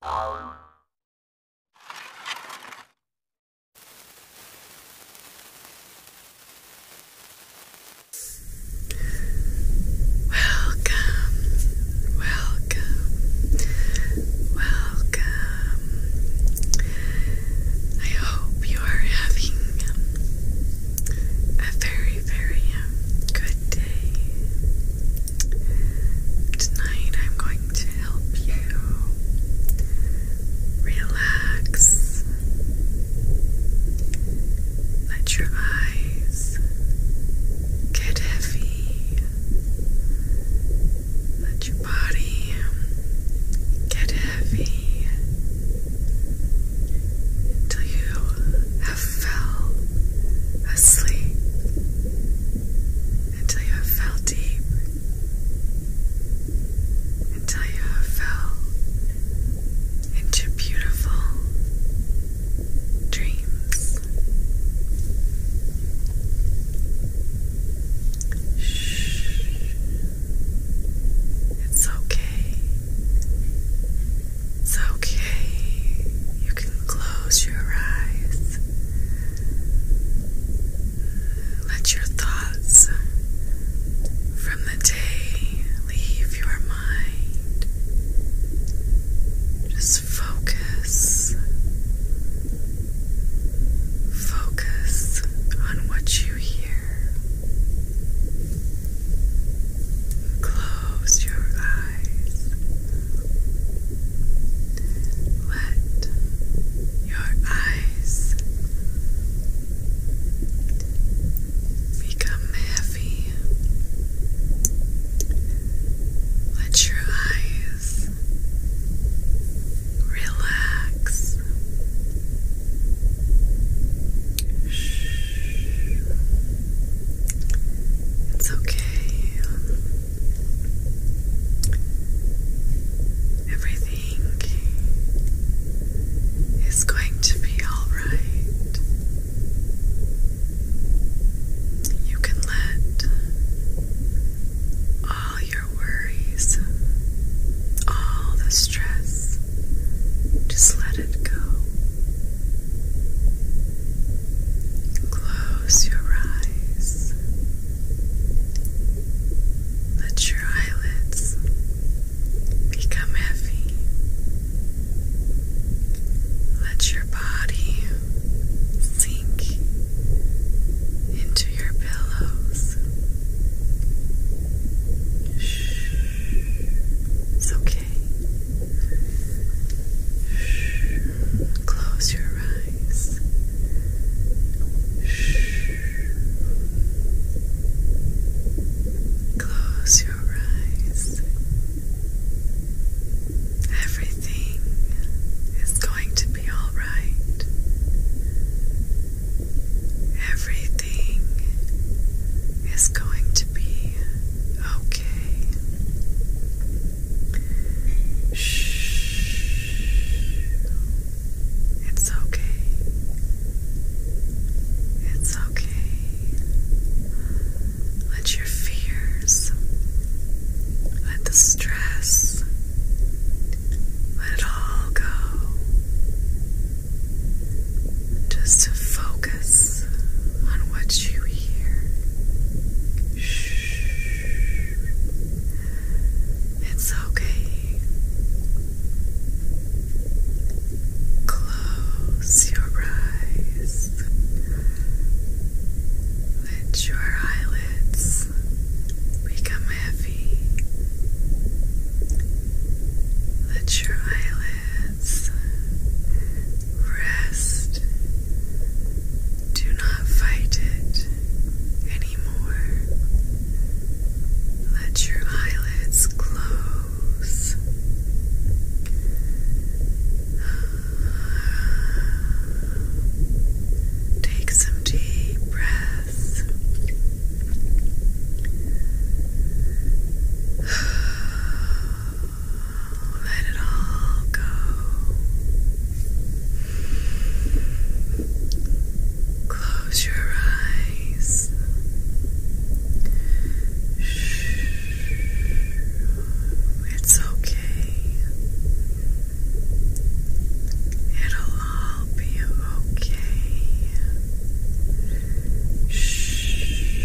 Welcome, welcome, welcome. I hope you are having a very, very um, good day. Tonight I'm going to help you relax. Let your eyes get heavy. Let your body get heavy until you have fell asleep until you have fell deep, until you have fell into beautiful dreams. Shh. It's okay. It's okay close your eyes. Let your thoughts from the day leave your mind. Just focus. Focus on what you hear. Close your eyes. Let your eyes become heavy. Let your eyes relax. Shh. It's okay. Everything is going to be alright. You can let all your worries, all the stress, just let it go. Close your eyes. Let your eyelids become heavy. Let your body sink into your pillows. Shh. It's okay. Shh. Close your eyes. Shh. Close your eyes. Everything is going to be all right. Everything is going to be okay. Shh. It's okay. It's okay. Let your fears, let the stress, let it all go. Just to focus on what you hear. Shh. It's okay. Close your eyes. Let your eyelids become heavy. Let your eyelids rest. Do not fight it anymore. Let your eyelids close. Take some deep breaths. Let it all go. Close your eyes. Shh. It's okay. It'll all be okay. Shh.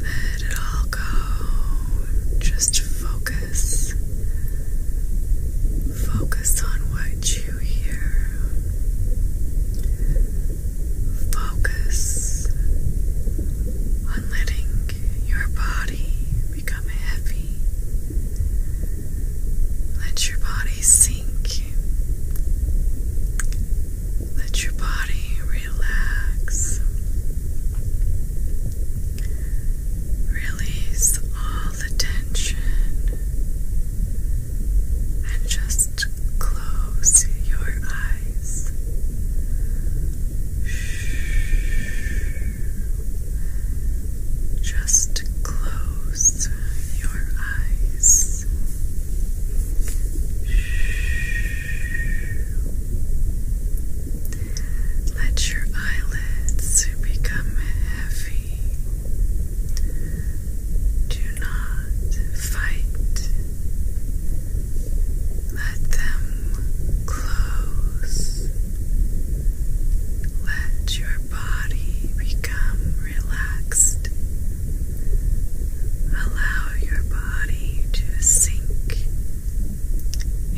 Let it all go. Just focus. Focus on what you hear. Focus on letting your body become heavy. Let your body sink let your body relax. Release all the tension and just close your eyes. Just close your eyes. Let your eyelids become heavy. Do not fight. Let them close. Let your your body become relaxed. Allow your body to sink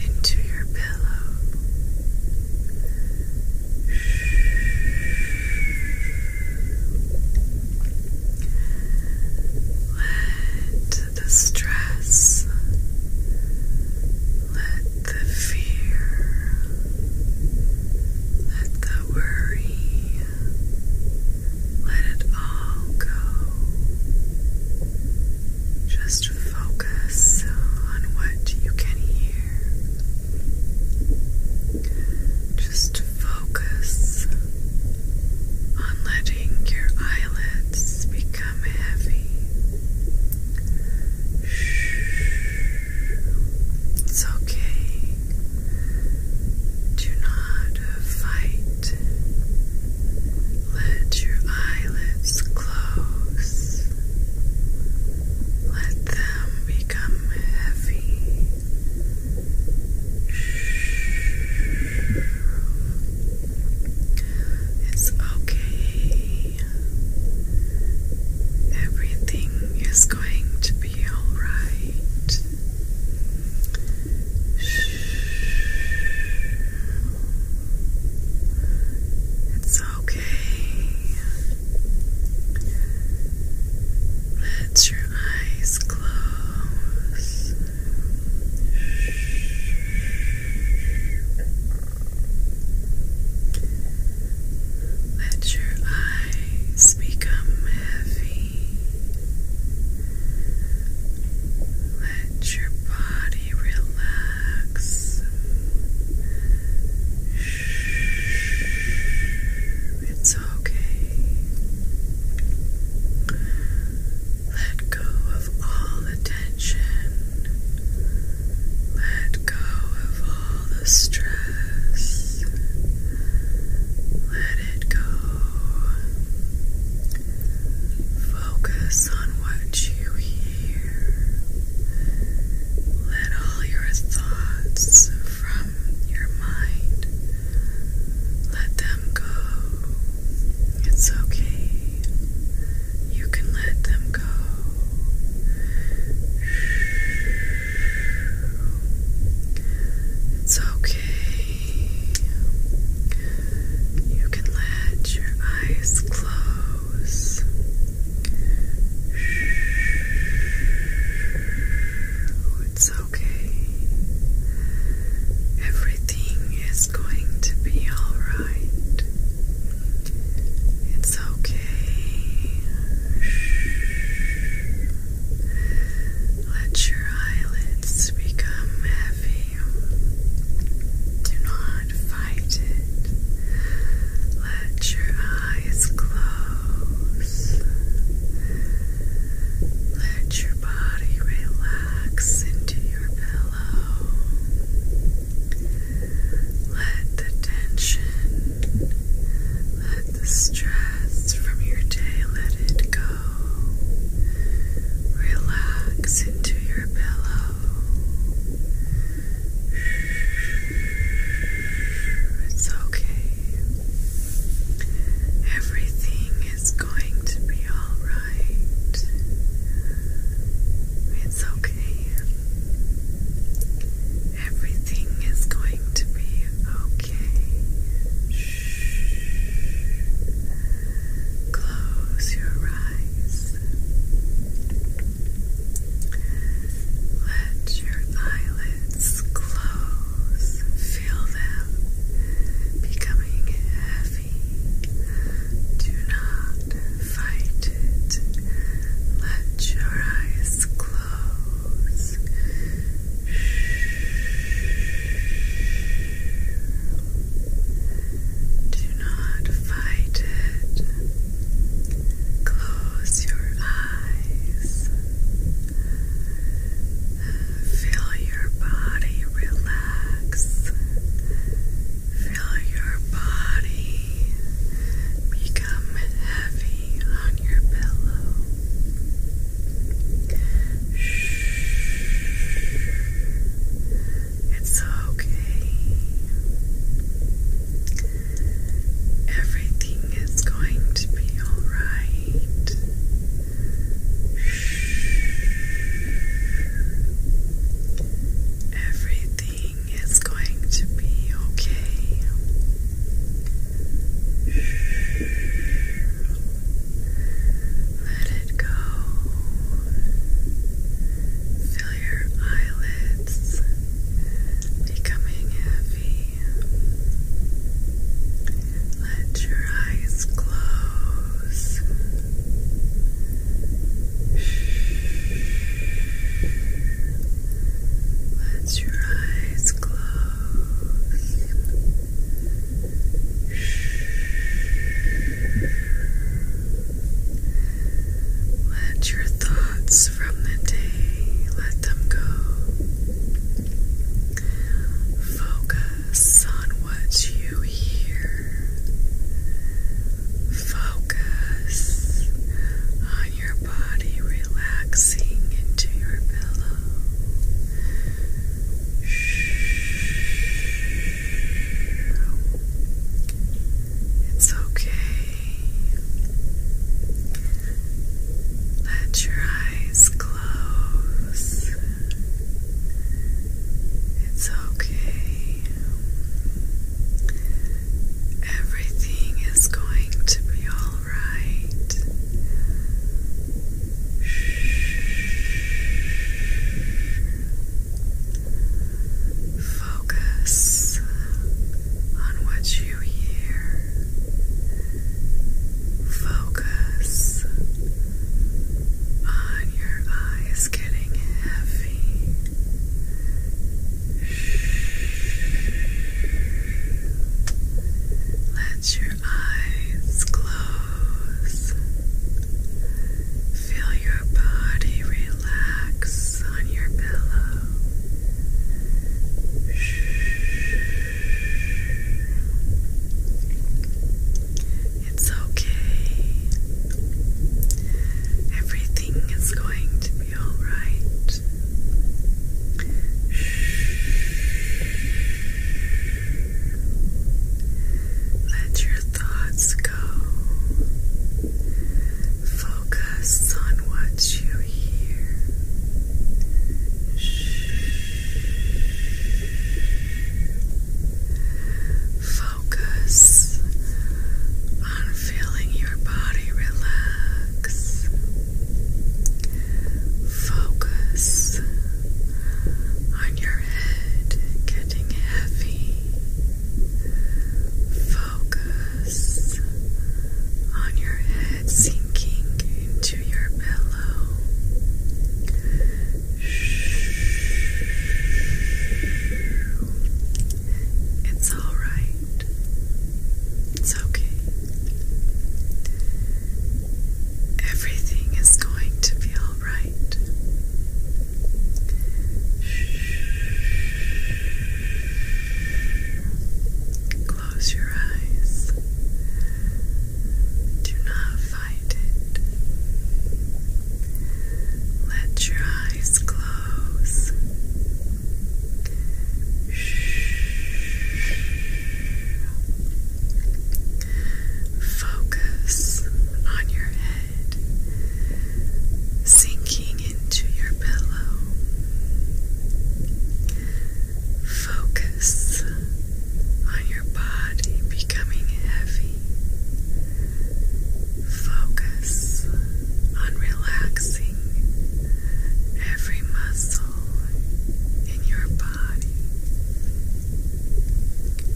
into your pillow. Let the stress, let the fear, let the the worry. Let it all go. Just focus on what you can hear. Just focus on letting your eyelids become heavy. Shh. It's okay. Do not fight. Let your eyelids close. Let them become heavy. It's okay. Everything is going to be alright. It's okay. Let your eyes close. Let your eyes become heavy. Let your body relax. It's okay. Let go of all the let go of all the stress. Let it go. Focus on what you hear. Let all your thoughts from your mind let them go. It's okay. You can let them go. It's okay. You can let your eyes close. Oh, it's okay. Everything is going to be alright. It's okay. Shh. Let your eyelids become heavy. Do not fight it. Let your eyes close. Let your body relax into your pillow. Let the tension, let the stress from your day, let it go. Relax into your pillow. It's okay. Everything is going to be alright. It's okay. Everything is going to be okay. Shh. Close your eyes. Let your eyelids close. Feel them becoming heavy. Do not fight it. Let your eyes close. Do not fight it. Close your eyes. Feel your body relax. Feel your body become heavy on your pillow. Shh. It's okay. Everything is going to be alright. Everything it's going to be okay. Let it go. Feel your eyelids becoming heavy. Let your eyes close. Let your eyes close. Let your thoughts from the day let them go. Focus on what you hear. Focus on your body relaxing into your pillow. It's okay. Let your eyes close. It's okay. Everything is going to be all right. Focus on what you hear. Focus on your eyes getting heavy. Let your eyes close. Feel your body relax on your pillow. It's okay. Everything Everything is going to be alright. Let your thoughts go. Focus on what you hear. Focus on feeling your body relax. Focus on your head getting heavy. Focus on your head sinking into your pillow. Shh. It's alright. It's okay. Everything is going to be alright. Close your eyes. Do not fight it. Let your eyes close nose. Focus on your head, sinking into your pillow. Focus on your body becoming heavy Focus on relaxing every muscle in your body.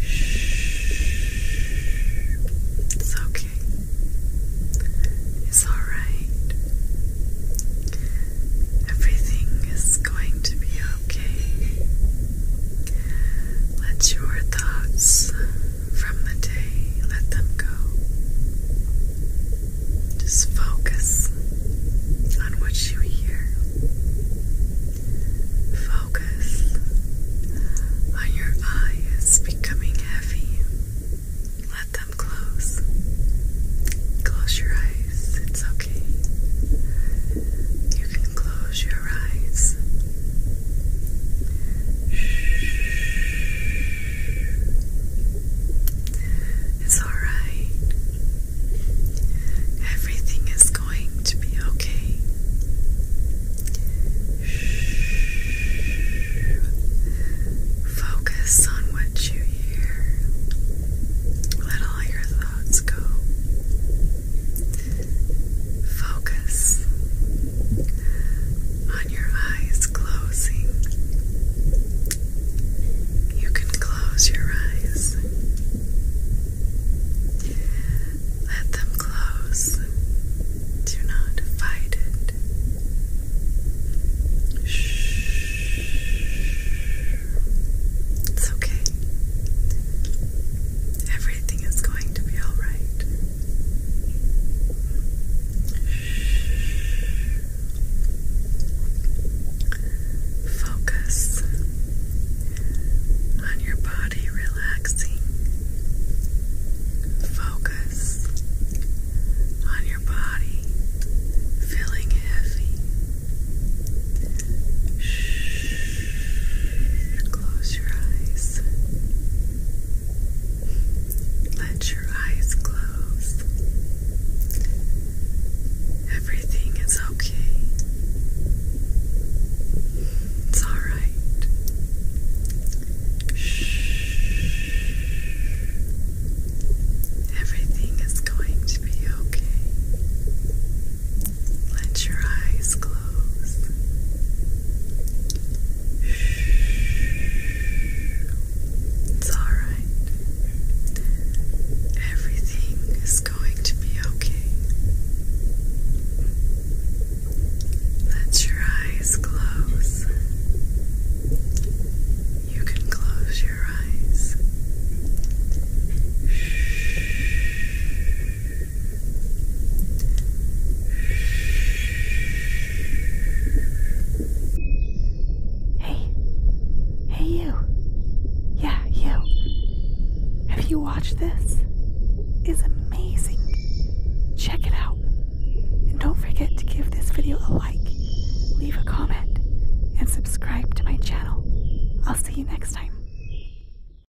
Shh. It's okay. It's alright. Everything is going to be okay. Let your thoughts from the day. Let them go. Just focus on what you hear. Focus on your eyes becoming heavy. Let them close. Close your eyes. It's okay. You can close your it's alright. Everything is going to be okay. Focus on what you hear. Let all your thoughts go. Focus on your eyes closing. You can close your eyes. Let them close. Do not fight it. Shh. It's okay. Everything is going to be alright. Focus on your body relaxing. Focus on your body feeling heavy. Shh. Close your eyes. Let your eyes close. Everything is okay. It's alright. Everything is going to be okay. Let your eyes close. It's alright. Everything is going to be okay. Let your eyes close. You can close your eyes. Hey. Hey, you. Yeah, you. Have you watched this? It's amazing. Check it out. And don't forget to give this video a like, leave a comment, and subscribe to my channel. I'll see you next time.